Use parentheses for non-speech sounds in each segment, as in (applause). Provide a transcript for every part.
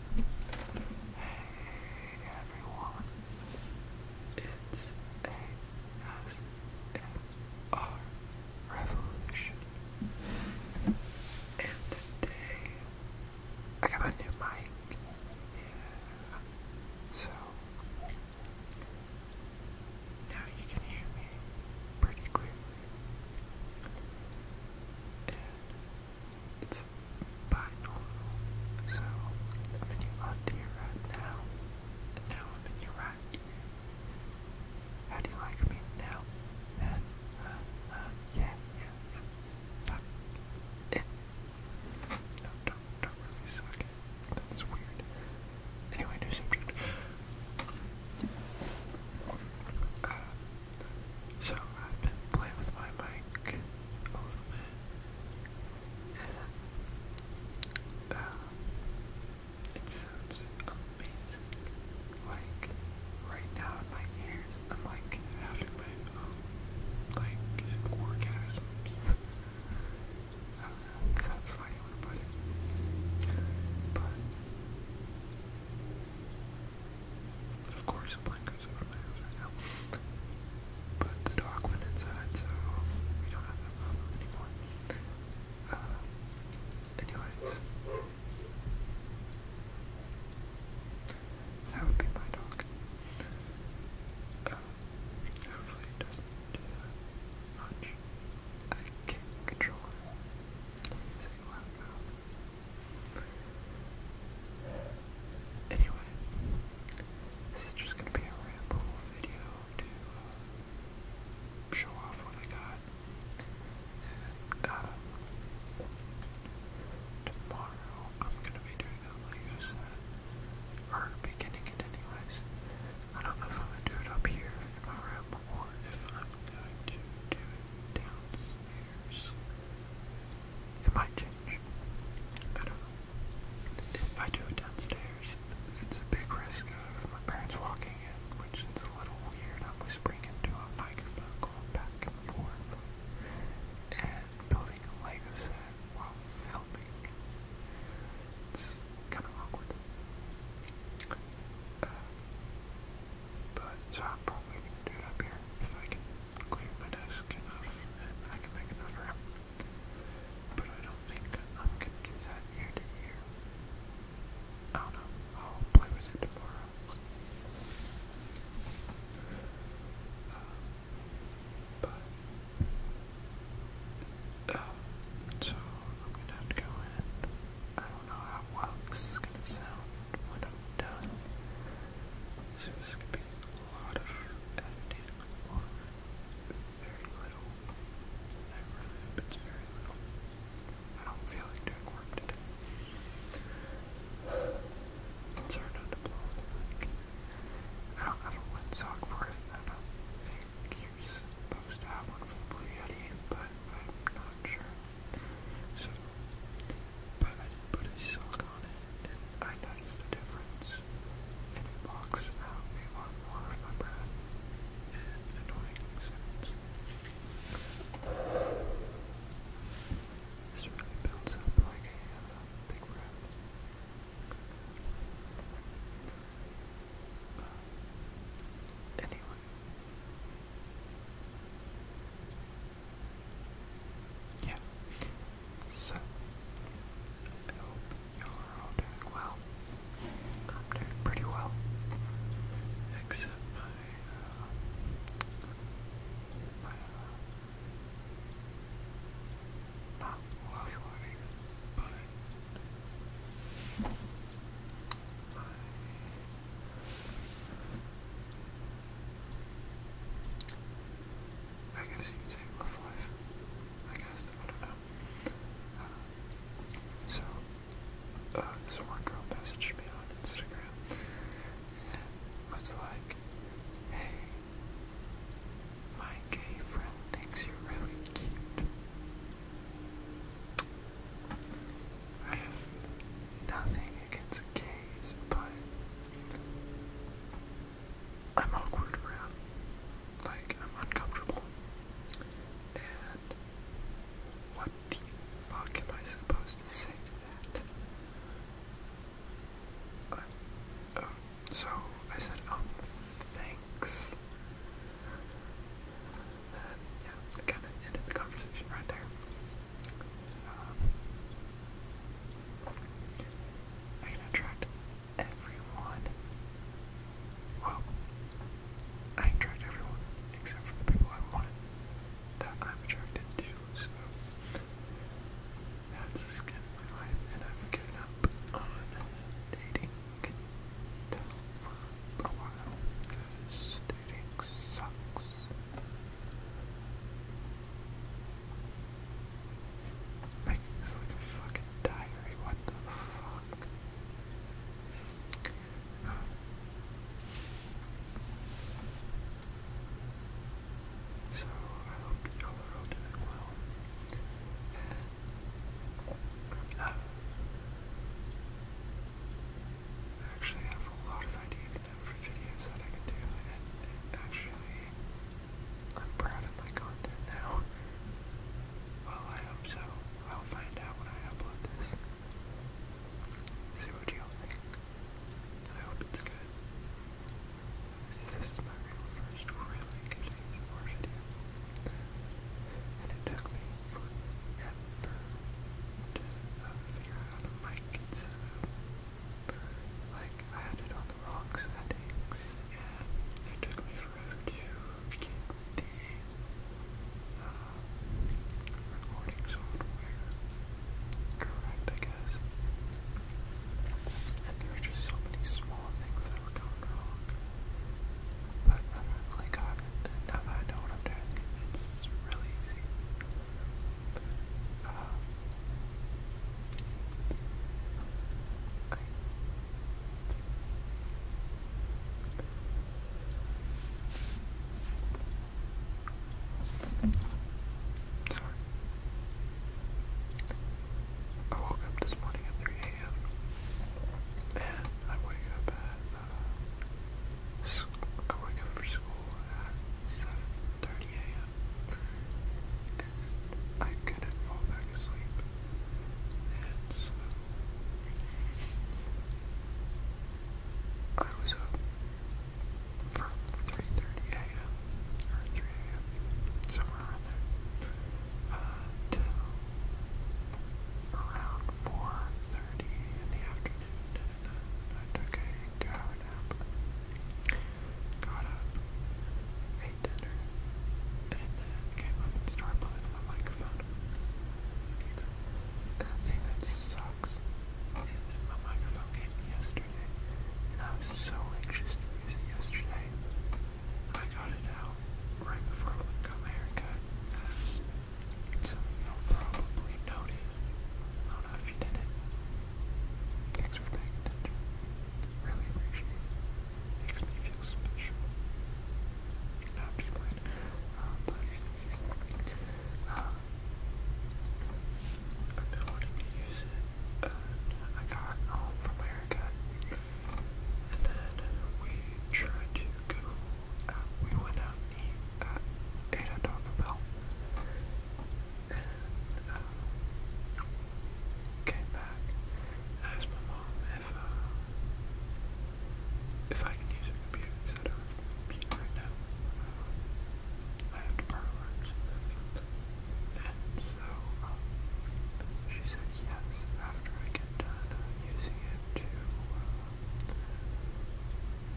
Hey everyone, it's ASMR Revolution, and today I got my new mic, so now you can hear me pretty clearly, it's binormal. So I'm in your left ear right now, now I'm in your right ear. How do you like me now? Uh, uh, uh yeah, yeah, yeah. No, don't, don't really suck That's weird. Anyway, new subject. Uh, so I've been playing with my mic a little bit, and uh, it sounds amazing. Like right now in my ears, I'm like having my own like orgasms. (laughs) Uh, that's why you want put it, but of course, the over my house right now. But the dog went inside, so we don't have that anymore. Uh, anyways, that would be my dog. Uh, hopefully, it doesn't do that much. I can't control him. Anyway, this is just gonna be a ramble video to uh, show off what I got. And uh, tomorrow I'm gonna be doing a Lego set, or beginning anyways. I don't know if I'm gonna do it up here in my room or if I'm going to do it downstairs it might change. I don't know. If I do it downstairs, it's a big risk of my parents walking in, which is a little weird. I'm whispering into a microphone back and forth and building a Lego set while filming. It's kind of awkward. Uh, but so I'm probably gonna do it up here if I can cleared my desk enough and I can make enough room. But I don't think I'm going to do that year to year. I don't know. I'll play with it tomorrow. Uh, but, um, so I'm going to have to go in. I don't know how well this is going to sound when I'm done. So this could be a lot of editing or very little. it's very little. I don't feel like doing work today. It's hard to blow I don't have a wet for it. I don't think you're supposed to have one for the Blue Yeti, but I'm not sure. So, but I did put a sock on it, and I noticed the difference. it blocks out a lot more of my breath and annoying sounds. This really builds up like a uh, big breath. anyway, yeah. So, I hope you are all doing well. I'm doing pretty well. Except my, uh, my, uh, my I guess you could life. I guess, uh, so, uh, this one girl messaged me on Instagram and like, hey, my gay friend thinks you're really cute. I have nothing against gays, but I'm awkward around. Like, I'm uncomfortable. And what the fuck am I supposed to say to that? Uh, oh, so I said, um, thanks. And yeah, kind of ended the conversation right there. Um, I can attract everyone. Well, I can attract everyone except for the people I want that I'm attracted to, so that's kind of my life, and I've given up on dating for a while dating sucks. Make this like a fucking diary. What the fuck? So I hope y'all are all doing well. Uh, I actually have a lot of ideas them for videos that I can do, and, actually, I'm proud of my content now. Well, I hope so. I'll find out when I upload this. See what you all think. I hope it's good. This is my real first really good ASMR video. And it took me forever to uh, figure out the mic like, I on the wrong settings, and it took me forever to get the uh, recording software correct, I guess. there were just so many small things that were going wrong. But uh, like, now that I know what I'm doing, it's really easy. Uh, okay. Sorry. I woke up this morning at 3 a.m. and I wake up at uh, I wake up for at 7.30 a.m. I couldn't fall back asleep. And I was up from 3.30 a.m. or 3 a.m. somewhere around there uh, till around 4.30 in the afternoon and I, uh, I took a two uh, got up, ate dinner, and then started playing on my microphone. The thing that sucks is my microphone came yesterday, and I was so anxious to use it yesterday. I got it out right before I got my haircut, as some of you probably noticed. I don't know if you didn't, Thanks for paying attention. Really Makes me feel special. No, just playing. Uh, but, I've been wanting to use it, and uh, I got home um, from America, and then we tried to go out. Uh, we went out and ate at Taco Bell. came back asked my mom if uh, if I can use her computer I don't have a uh, I have to And so um, she said yes after I get done using it to uh,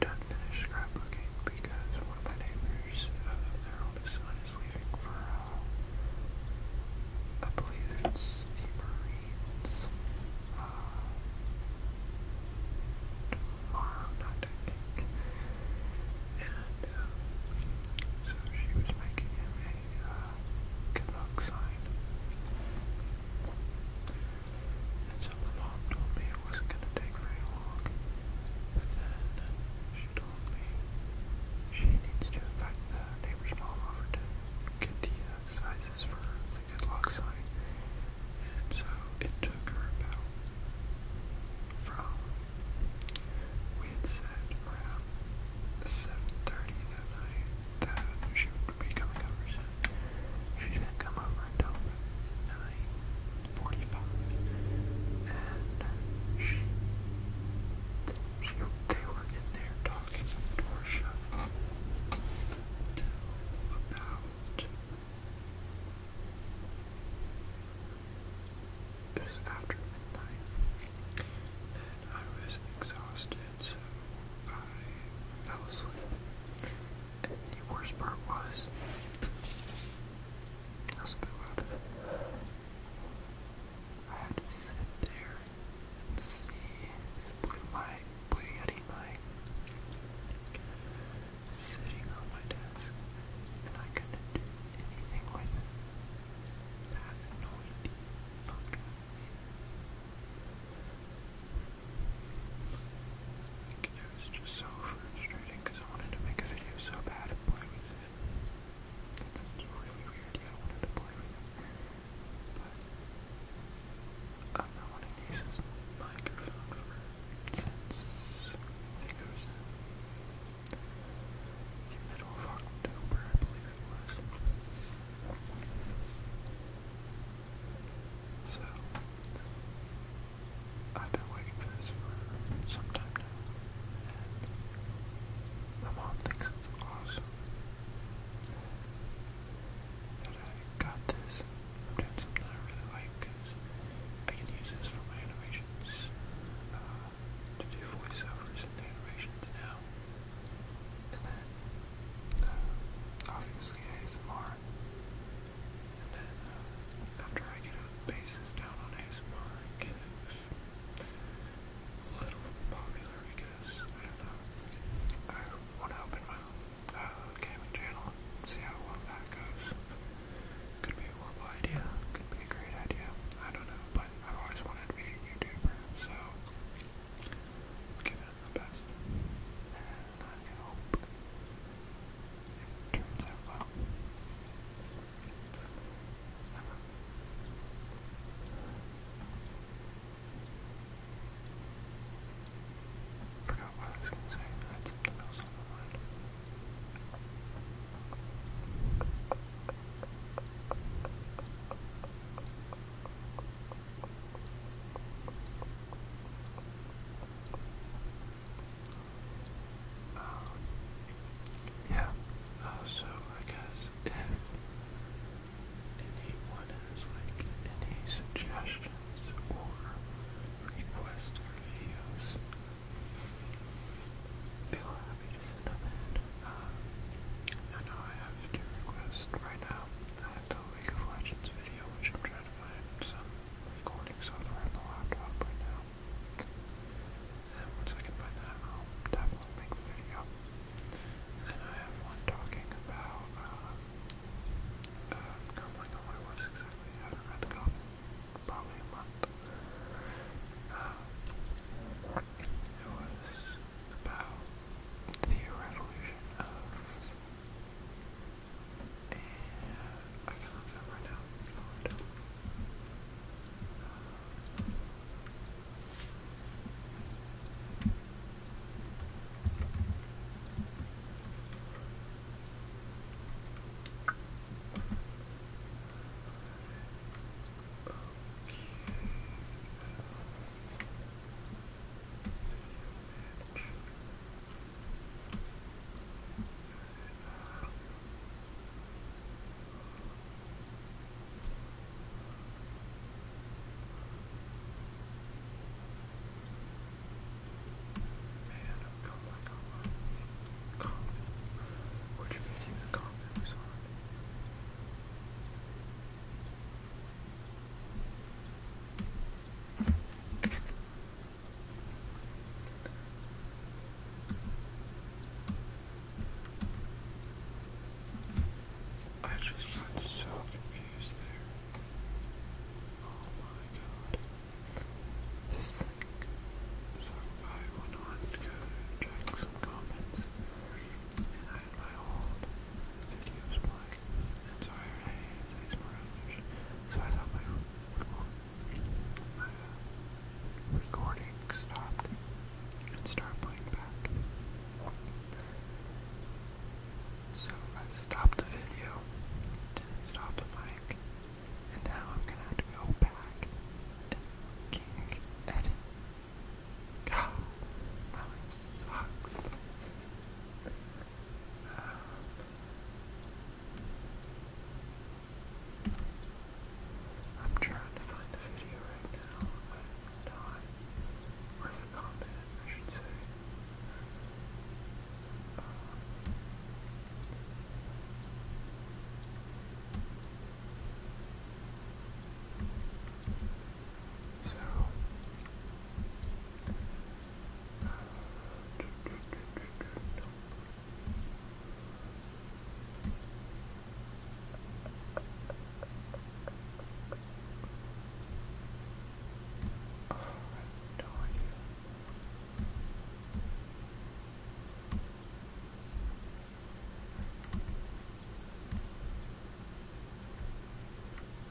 done finished scrapbooking because one of my neighbors, uh, son, is leaving for, uh, I believe it's the Marines, uh, tomorrow night, I think. Uh, so she was making him a, uh, good luck sign. And so my mom told me it wasn't going to take very long. But then she told me she needs to invite the neighbor's mom over to get the uh, sizes for the good luck sign. And so it took her about from, we had said around 7.30 that night that she would be coming over soon. She didn't come over until about 9, 45, and she, she they were in there talking the door about it was after midnight, and I was exhausted, so I fell asleep. And the worst part was, that a bit loud. I had to sit there and see this blue mic, blue sitting on my desk, and I couldn't do anything with it. That annoyed it was just so frustrating because I wanted to make a video so bad play with it. That really weird, I wanted to play with it. I've been wanting to use this microphone for since I middle of October, I believe it was. So, I've been waiting for this for some time now, my mom thinks it's awesome that I got this. I'm doing something I really like because I can use this for my animations, uh, to do voiceovers and animations now. And then, uh, obviously ASMR ASMR. And then uh, after I get a basis down on ASMR, I a little popular because I don't know. I want to open my own uh, gaming channel see how well that goes. Could be a horrible idea, could be a great idea. I don't know, but I've always wanted to be a YouTuber, so give it the best not help. forgot what I was going to say. I had something else on my mind. Um, yeah, oh, so I guess if anyone has like any suggestions or requests for videos, feel happy to send them in. Um, I know I have two requests right now. I have the League of Legends video, which I'm trying to find recording software on the laptop right now. And once I can find that, I'll definitely make the video. And I have one talking about, um, uh, uh I don't really know haven't read the copy probably a month. Um, it was about the revolution of and I can't remember right now. Man, I'm kind of like on my comment. Which video the comment was on? I I just got so confused there. Oh my god. This thing. So I went on to check some comments. And I had videos playing. And so I heard, So I thought my recording stopped start playing back. So I stopped the video, didn't stop the mic, and now I'm gonna have to go back and fucking edit. God, my life sucks. Uh, I'm trying to find the video right now, but the comment, I should say. Uh, so, uh, Oh,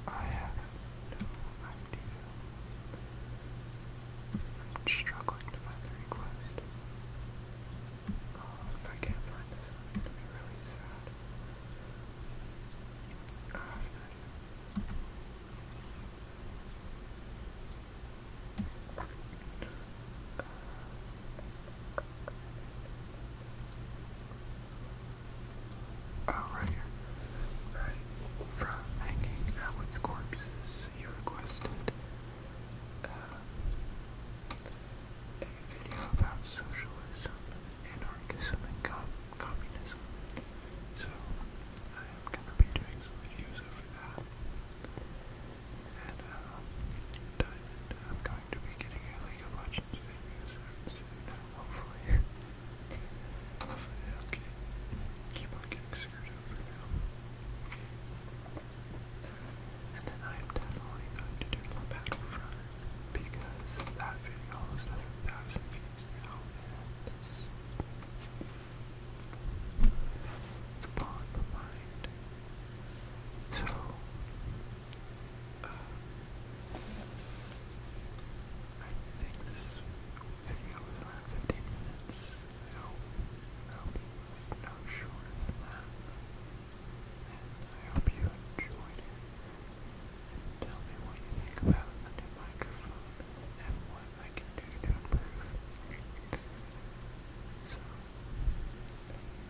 I I have no idea. I'm struggling to find the request. Oh, if I can't find this it'll be really sad. Oh, oh, right here. Right. From hanging out with corpses, you requested uh, a video about socialism, anarchism, and communism. So I am going to be doing some videos over that. And uh, I'm going to be getting a League of Legends videos out hopefully. (laughs) hopefully, i getting screwed And then I'm definitely going to do the Battlefront because that video almost has a thousand views now, it's, it's my mind. So, uh, I think this video is around 15 minutes. I hope, no shorter than that. And I hope you enjoyed it. And tell me what you think about the microphone and what I can do to improve. So, I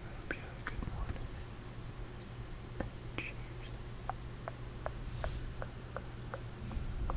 hope you have a good one. Cheers.